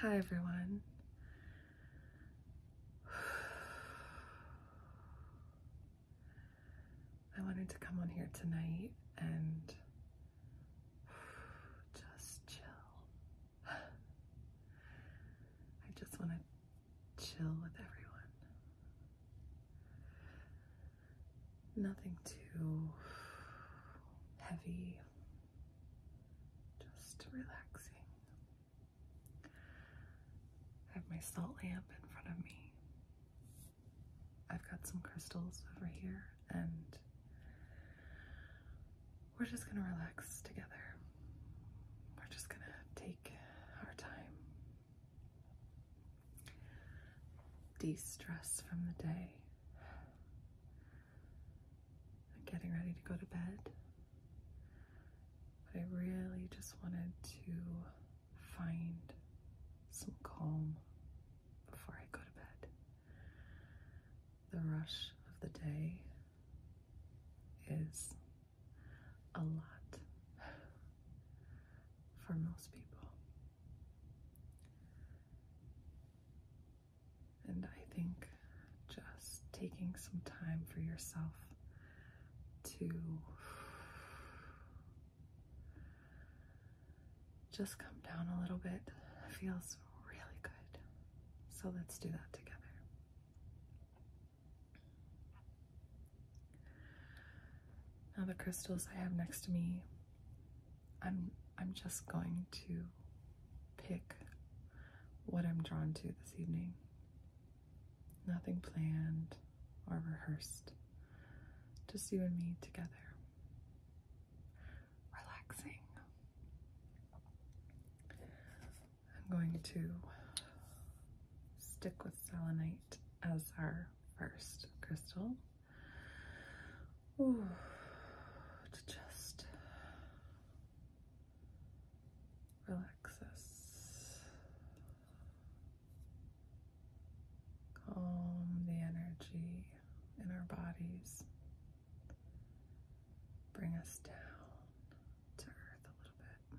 Hi, everyone. I wanted to come on here tonight and just chill. I just want to chill with everyone. Nothing too heavy just relaxing. I have my salt lamp in front of me. I've got some crystals over here, and we're just gonna relax together. We're just gonna take our time, de stress from the day, I'm getting ready to go to bed. But I really just wanted to find some calm before I go to bed. The rush of the day is a lot for most people. And I think just taking some time for yourself to just come down a little bit feels really good. So let's do that together. Now, the crystals I have next to me I'm I'm just going to pick what I'm drawn to this evening. Nothing planned or rehearsed. Just you and me together. Relaxing. I'm going to stick with selenite as our first crystal. Ooh, to just relax us, calm the energy in our bodies, bring us down to earth a little bit.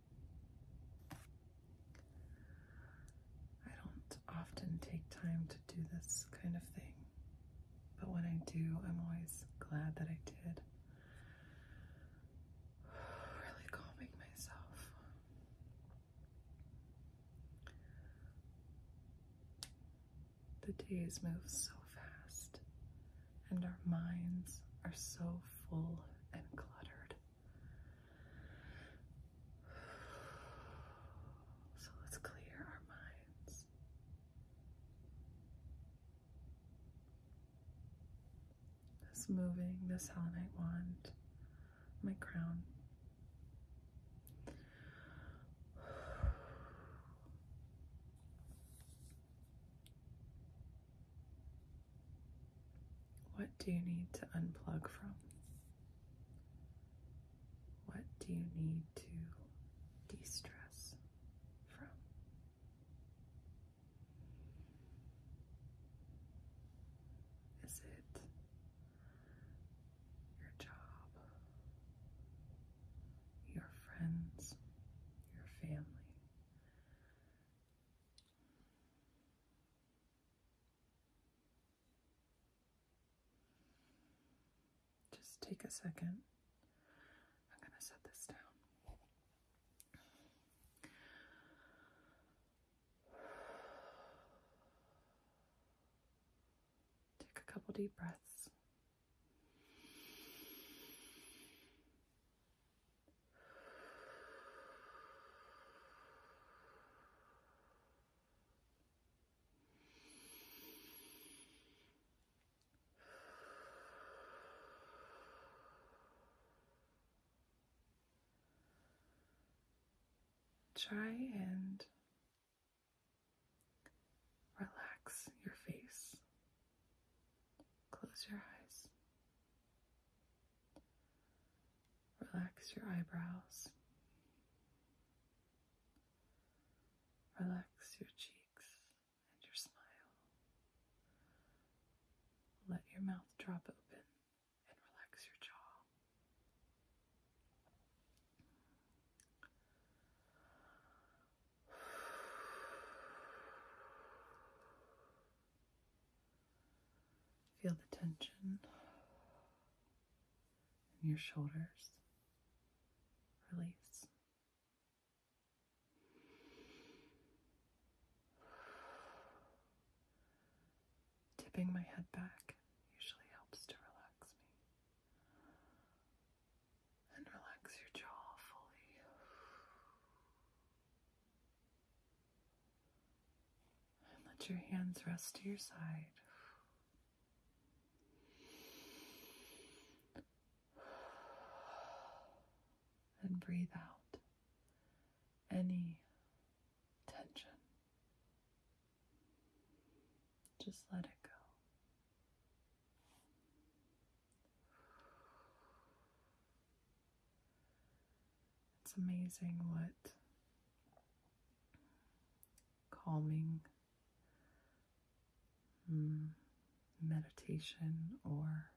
I don't often take time to do this kind of thing, but when I do, I'm always glad that I did. Really calming myself. The days move so fast, and our minds are so full and cluttered. So let's clear our minds. This moving, this selenite wand, my crown. What do you need to unplug from? What do you need to de stress from? Is it your job, your friends, your family? Just take a second. I'm going to set this down. Take a couple deep breaths. Try and relax your face. Close your eyes. Relax your eyebrows. Relax your cheeks and your smile. Let your mouth drop open and relax your jaw. Feel the tension in your shoulders release. Tipping my head back usually helps to relax me and relax your jaw fully. And let your hands rest to your side. And breathe out any tension. Just let it go. It's amazing what calming mm, meditation or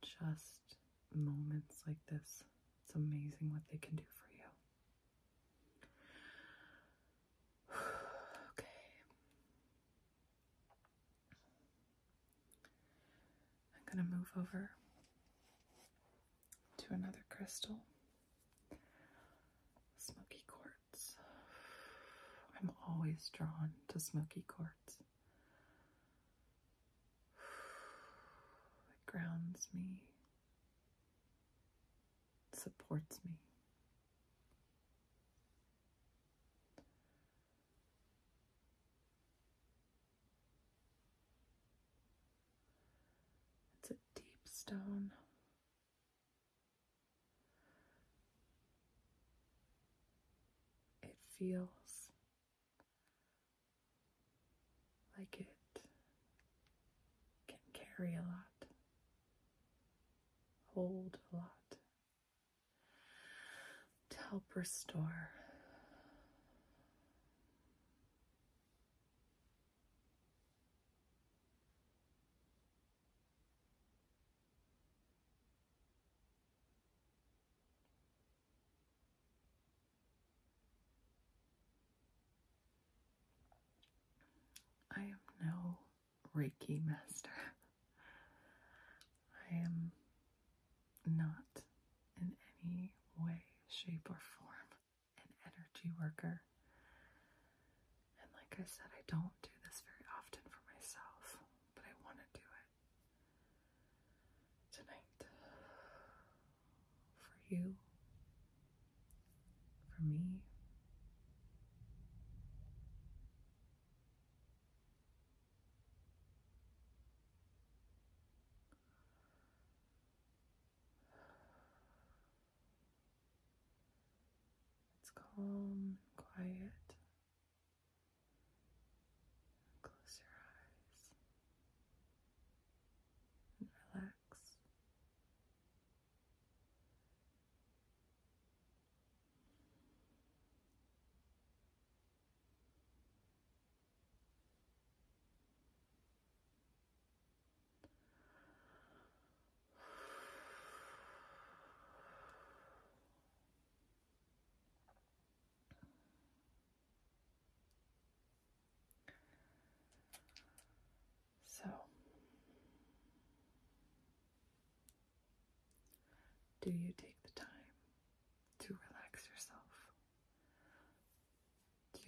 just moments like this. It's amazing what they can do for you. okay. I'm going to move over to another crystal. Smoky quartz. I'm always drawn to smoky quartz. It grounds me, supports me. It's a deep stone. It feels like it can carry a lot, hold a lot to help restore. I am no Reiki master. I am not in any way, shape, or form an energy worker. And like I said, I don't do this very often for myself, but I want to do it tonight for you, for me. It's calm, quiet. Close your eyes and relax. So, do you take the time to relax yourself? to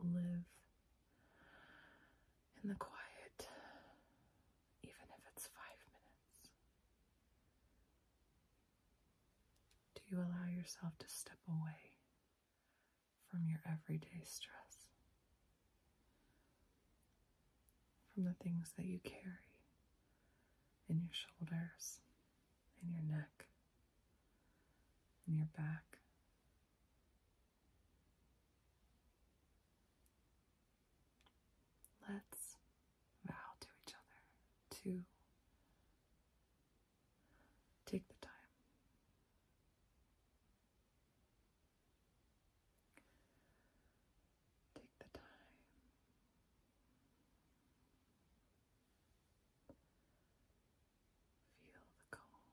live in the quiet, even if it's five minutes? Do you allow yourself to step away from your everyday stress? from the things that you carry in your shoulders, in your neck, in your back. Let's vow to each other to take the time. Take the time feel the calm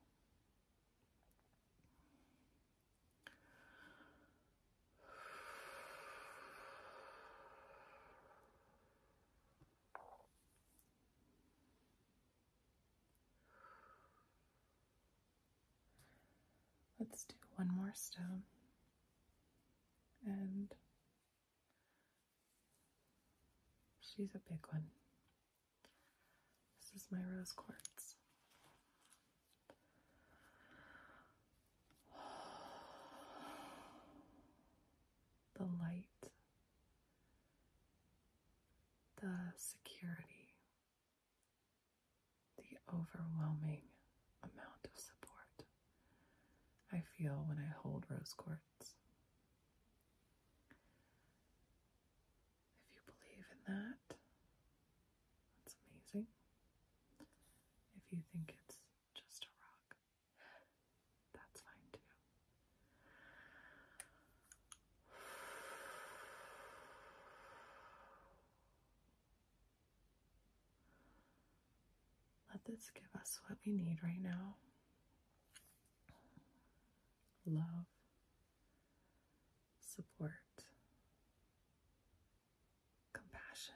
Let's do one more stone and she's a big one. This is my rose quartz. The light, the security, the overwhelming amount of support I feel when I hold rose quartz. If you believe in that, that's amazing. If you think it's just a rock, that's fine too. Let this give us what we need right now love, support, compassion.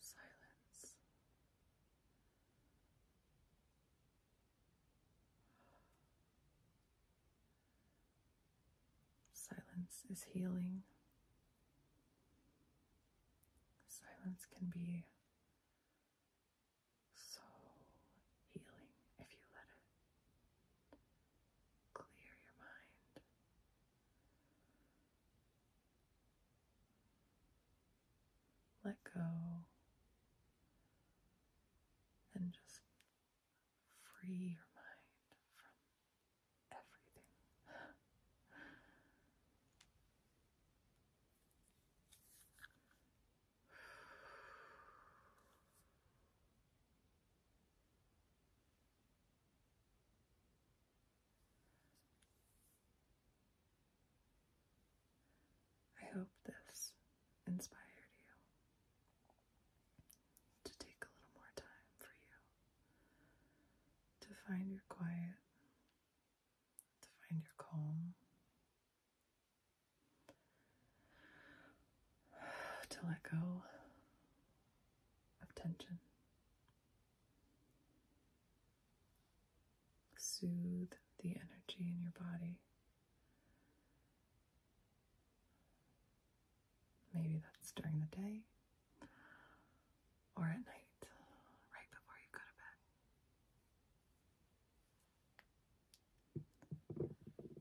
Silence. Silence is healing. Silence can be so healing if you let it clear your mind. Let go and just free your mind from everything. I hope this inspired you to take a little more time for you to find your quiet, to find your calm, to let go of tension. Soothe the energy in your body. Maybe that's during the day or at night, right before you go to bed.